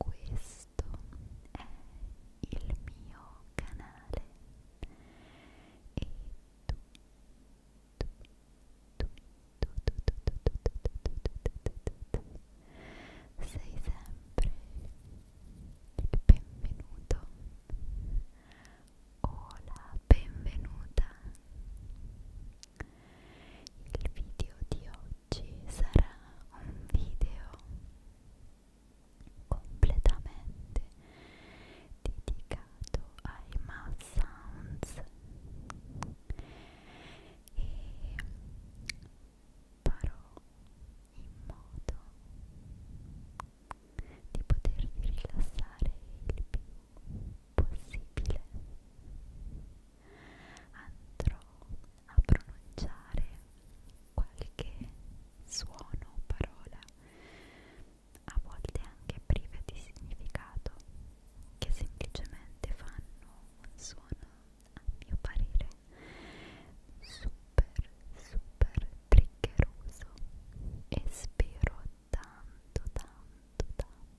Questo è il mio canale e tu, tu, tu, tu, tu, tu, tu, tu, tu, tu sei sempre il benvenuto o la benvenuta. Il video di oggi oggi sarà un video completamente dedicato ai mouth sounds e farò in modo di potervi rilassare il più possibile andrò a pronunciare qualche suono o parola a volte anche prive di significato che semplicemente fanno un suono a mio parere super super triggeroso e spero tanto tanto tanto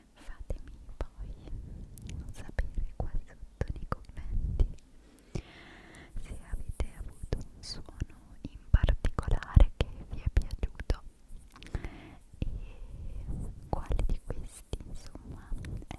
fatemi poi sapere qua sotto nei commenti se avete avuto un suono in particolare che vi è piaciuto e quale di questi insomma è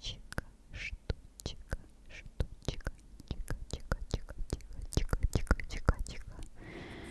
Штучка, штучка, штучка, тика, тика, тика, тика, тика, тика, тика, тика.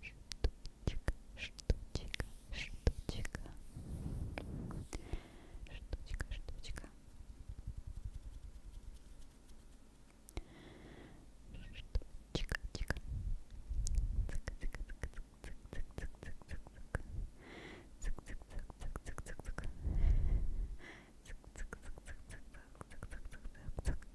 Штучка, штучка, штучка. Штучка, штучка. Штучка, штучка. Цик, цик, цик, цик, цик, цик, цик, цик, цик. Цик, цик, цик, цик, цик, цик, цик. Цик, цик, цик, цик, цик, цик, цик, цик, цик, цик.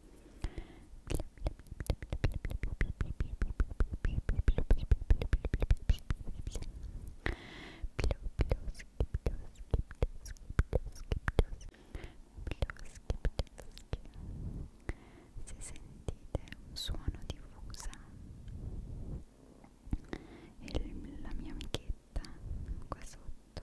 se sentite un suono di fusa e la mia amichetta qua sotto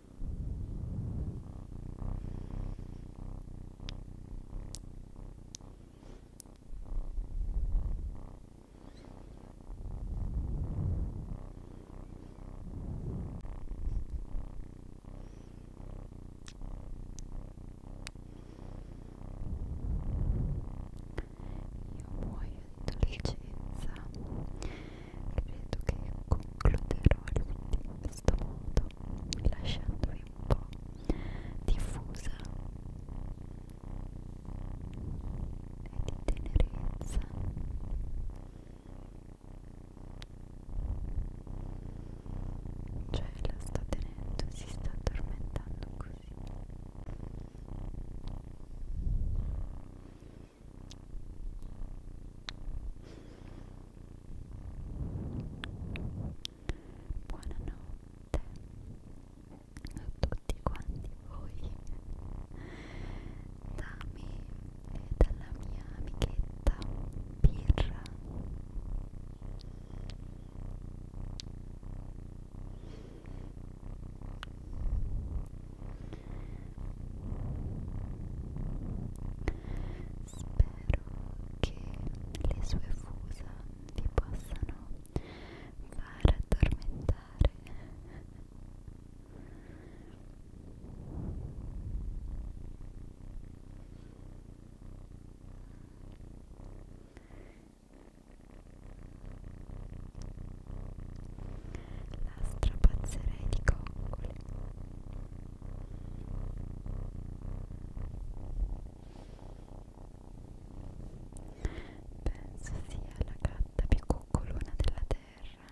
muoio di dolcezza credo che concluderò il video in questo modo mondo lasciandovi un po' diffusa e di tenerezza cioè la sta tenendo, si sta addormentando così Buonanotte a tutti quanti voi da me e dalla mia amichetta Pirra Buonanotte Spero che le sue fusa vi possano far addormentare la strapazzerei di coccole Penso sia la gatta più coccolona della terra.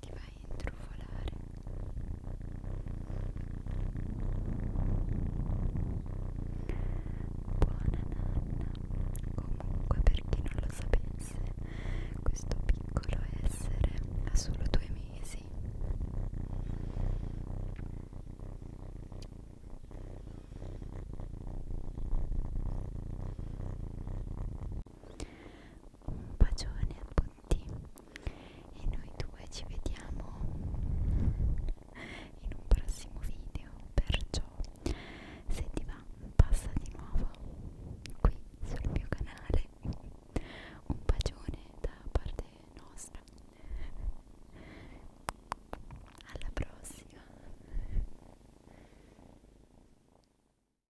ti vai a intrufolare buona nanna comunque per chi non lo sapesse questo piccolo essere ha solo due mesi un bacione a tutti e noi due ci vediamo in un prossimo video perciò se ti va passa di nuovo qui sul mio canale un bacione da parte nostra alla prossima